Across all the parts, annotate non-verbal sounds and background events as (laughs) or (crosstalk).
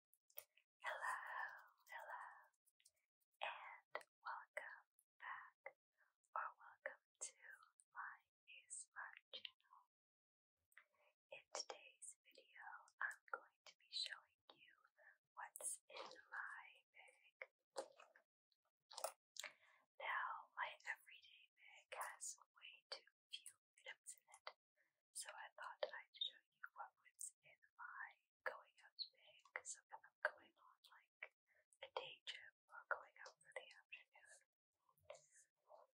Hello, hello, and welcome back, or welcome to my new smart channel. In today's video, I'm going to be showing you what's in my bag. Now, my everyday bag has way too few items in it, so I thought I'd show you what was in my going out bag. So if I'm going on like a day trip or going out for the afternoon,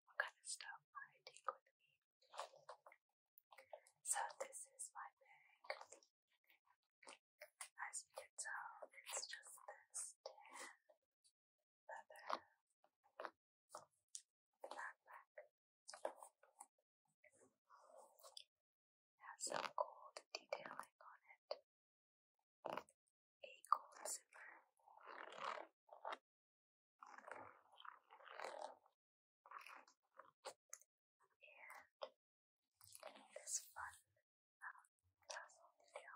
what kind of stuff I take with me. So this is my bag. As you can tell, it's just this tan leather the has some gold detailing on it. A gold zipper. And this fun um, tassel detail.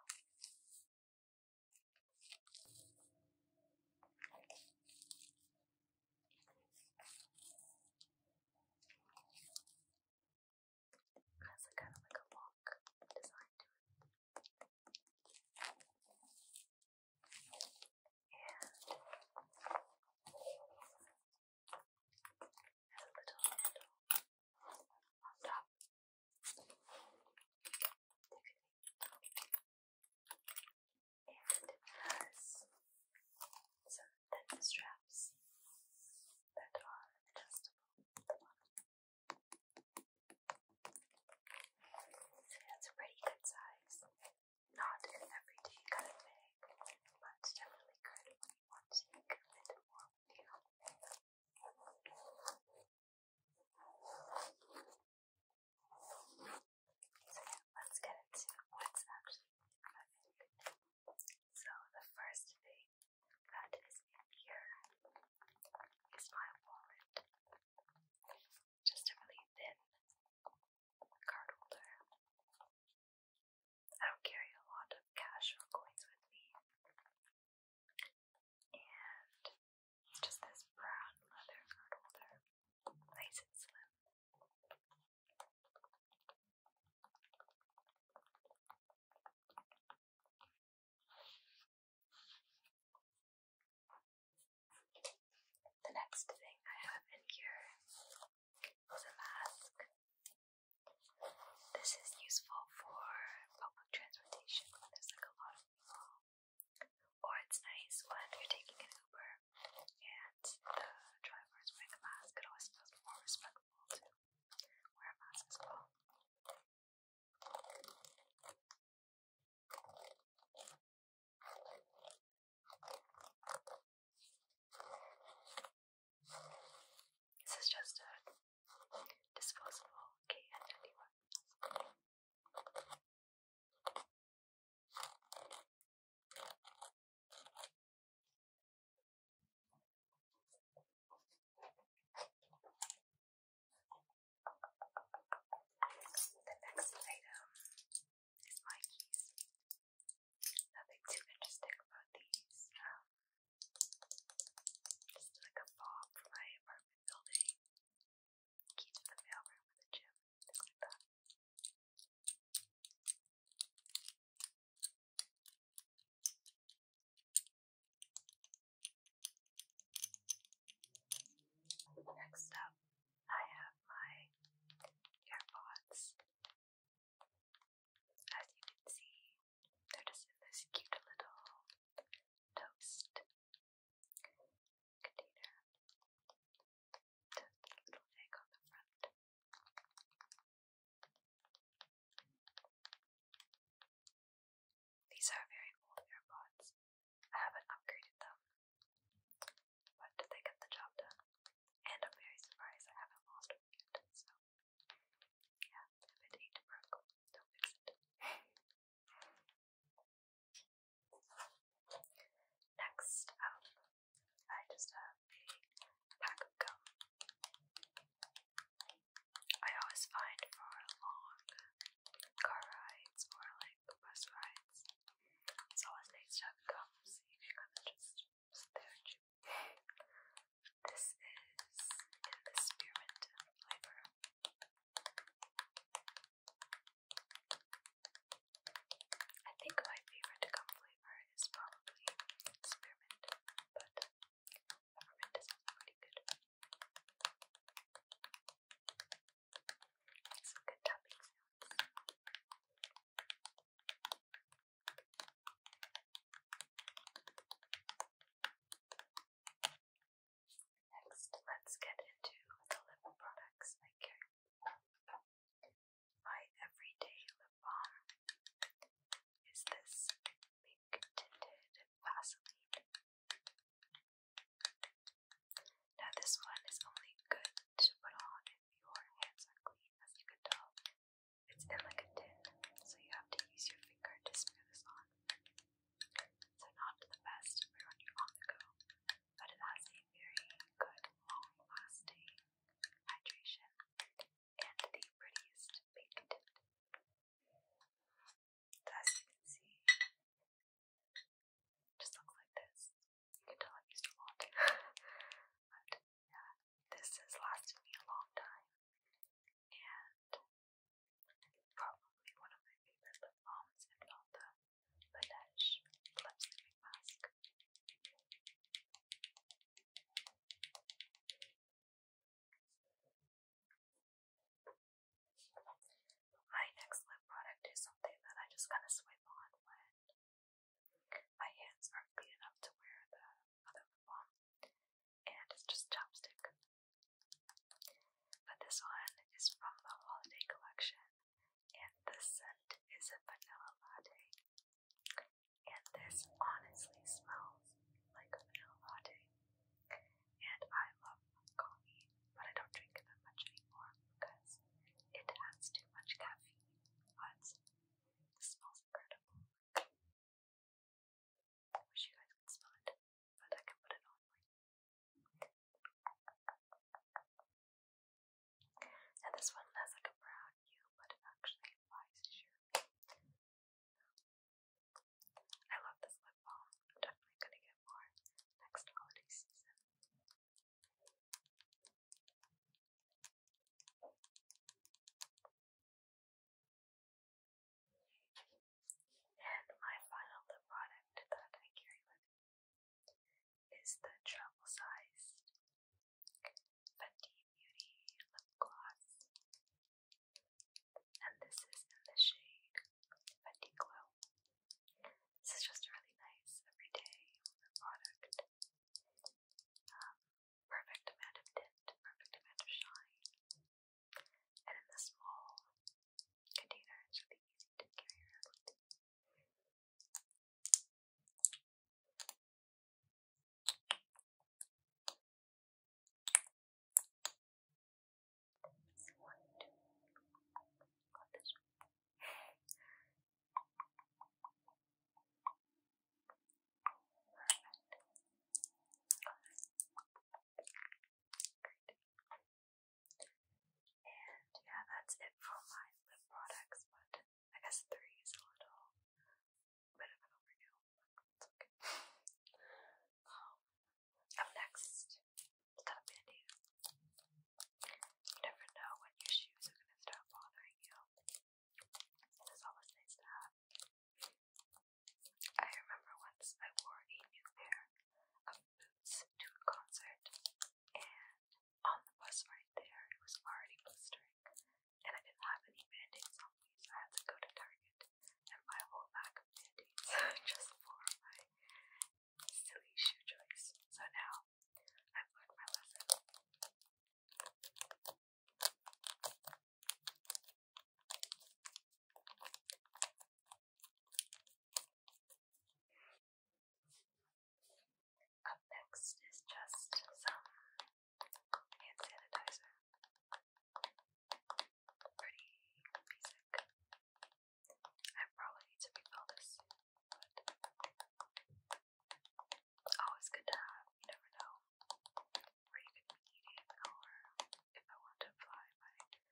Has a kind of like a lock design to it. And a little on top and it has some thin straps that are adjustable. It's a pretty good size, not everyday kind of bag, but definitely good if you want to make a bit so let's get into what's actually in my So the first thing that is in here is my wallet. Just a really thin card holder. I don't carry a lot of cash or coins with me. And just this brown leather card holder, nice and slim. The next thing I have in here is a mask. This is useful for public transportation when there's like a lot of people or it's nice when you're taking an Uber and the driver is wearing a mask, it always feels more respectful to wear a mask as well. This is just a disposable K and the next item is my keys. Nothing too interesting about these. Um, just like a bob for my apartment building key to the mailroom of the gym, Next up, I have my AirPods. As you can see, they're just in this cute little toast these are very old AirPods. I haven't upgraded them, but they get the job done. And I'm very surprised I haven't lost one yet. So, yeah, if it ain't broke, don't fix it. Next up, I just have a pack of gum. I always find for long car rides or like bus rides, it's always nice to have gum so you can kind of just sit there and This is in the spearmint flavor. I think my favorite gum is probably spearmint, but peppermint is pretty good. Some good tapping Next, let's get into the lip products I carry. My everyday lip balm is this pink tinted Vaseline. Now, this one is only good to put on if your hands are clean, as you can tell. It's in like a tin, so you have to use your finger to smear this on so not the best for on the go, but it has a very good, long-lasting hydration and the prettiest pink tint. As you can see, just looks like this. You can tell i used a lot, (laughs) yeah, this has lasted me a long time, and Probably one of my favorite lip balms, if not the Laneige Lip Sleeping Mask. My next lip product is something that I just kind of swipe on when my hands aren't clean enough to wear the other lip balm, and it's just chapstick. But this one is from the holiday collection, and the scent is a vanilla latte. And this honestly smells like a vanilla latte. And I love coffee, but I don't drink it that much anymore because it has too much caffeine. But this smells incredible. wish you guys could smell it. I can put it And this one has like a brown hue, but it actually applies to I love this lip balm. I'm definitely gonna get more next holiday and my final lip product that I carry with me is the travel sized Fenty Beauty lip gloss. And this is in the shade Fenty Glow. This is just a really nice everyday product. Um, perfect amount of tint, perfect amount of shine and in the small container it's really easy to carry around. One, two, and yeah, that's it for my lip products, but I guess three is a little bit of an overkill, but it's okay. Um, up next, stop bandaid. You never know when your shoes are gonna start bothering you. It is always nice to have I remember once I wore a new pair of boots to a concert, and on the bus right there, it was already blistering, and I didn't have any bandages on me, so I had to go to Target and buy a whole pack of bandages (laughs) just for my silly shoe choice. So now I've learned my lesson. Up next is just some hand sanitizer. Pretty basic. I probably need to refill this, but always good to have. You never know where you could be eating or if I want to apply my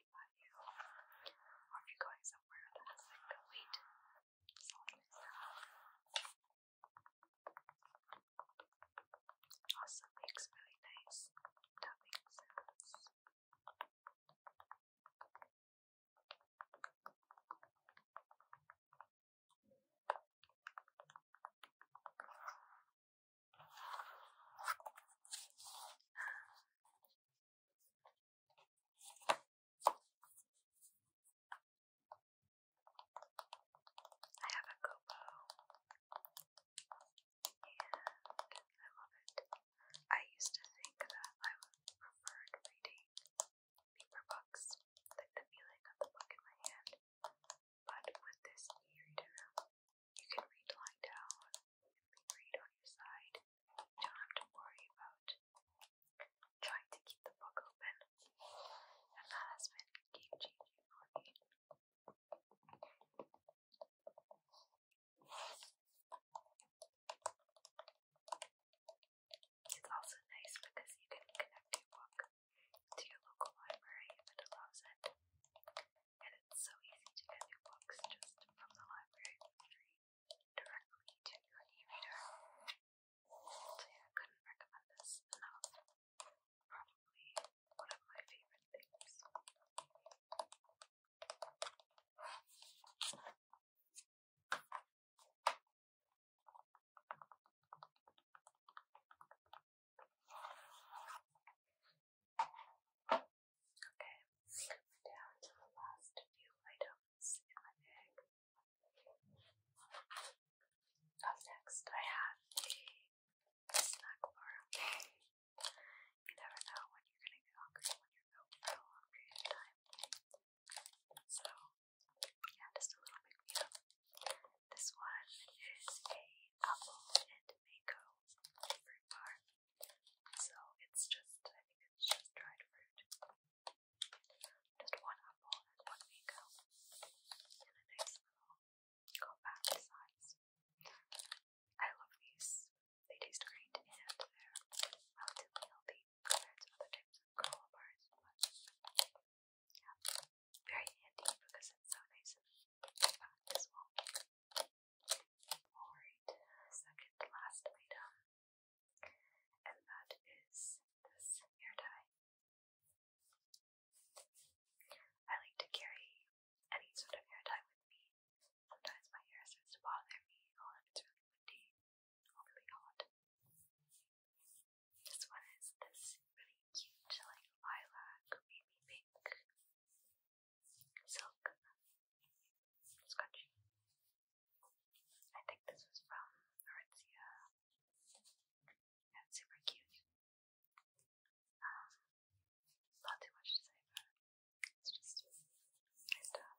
Are you, going somewhere that's like a wait, someone is really nice tapping sounds. I have a GoPro and I love it. I used to think that I would prefer reading paper like the feeling of the book in my hand. But with this e-reader, you can read lying down, read on your side. You don't have to worry about trying to keep the book open. And that has been game changing for me. It's also nice because you can connect your book to your local library if it allows it and it's so easy to get new books just from the library directly to your e-reader. So yeah, I couldn't recommend this enough. Probably one of my favorite things. Okay, down to the last few items in my bag. Up next, I have a snack bar. You never know when you're going to get hungry when you're out for a long period of time. So, yeah, just a little big meal. This one is a apple and mango fruit bar. So it's just, I think it's just dried fruit. Just one apple and one mango. And a nice little compact size. I love these. They taste great and they're relatively healthy compared to other types of granola bars. But yeah, very handy because it's so nice and flat as well. Alright, second last item, and that is this hair tie. I like to carry any sort of hair tie with me. Sometimes my hair starts to bother me or oh, if it's really windy or really hot. This one is this really cute, like lilac, baby pink silk scrunchie. I think this was from Aritzia. it's super cute. Um, not too much to say about It's just nice stuff.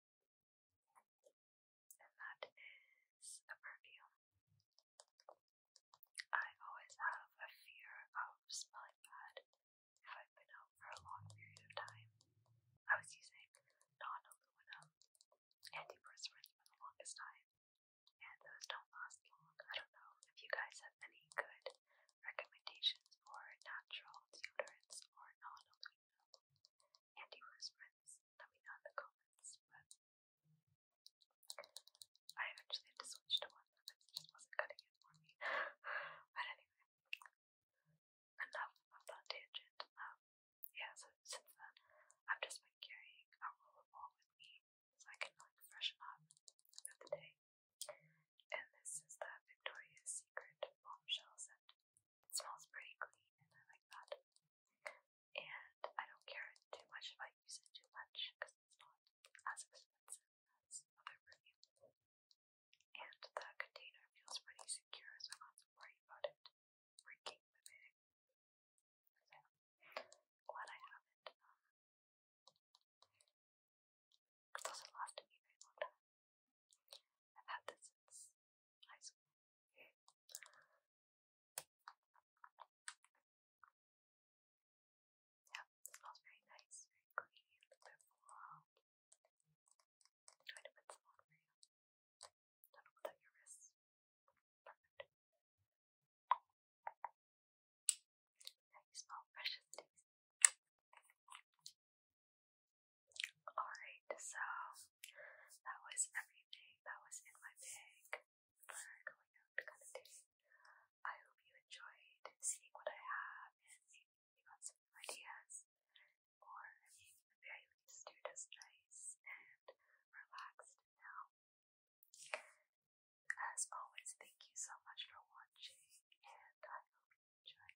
that is a perfume. I always have a fear of smelling bad if I've been out for a long period of time. I was using non aluminum antiperspirants for the longest time, and those don't last long. I don't know if you guys have any good recommendations for natural deodorants or non aluminum. Andy Rosemary's. Let me know in the comments. But I eventually had to switch to one that just wasn't cutting it for me. (sighs) but anyway, enough of that tangent. Um, yeah, so since then, I've just been carrying a roll of ball with me so I can like freshen throughout the day. And this is the Victoria's Secret bombshell set. It smells pretty clean and I like that. And I don't care too much if I use it too much because it's not as expensive as other perfume. And the container feels pretty secure, so I'm not worried about it breaking the bag. glad I um, have it. Um, it does me very long time i Yeah, smells very nice, very clean, very floral. Try put some on for you. Don't know about your wrists. Perfect. Now Alright, so that was everything that was in my bag for going out kind I hope you enjoyed seeing what I have and maybe you got some ideas. Or maybe at the very least you just nice and relaxed now. As always, thank you so much for watching and I hope you enjoyed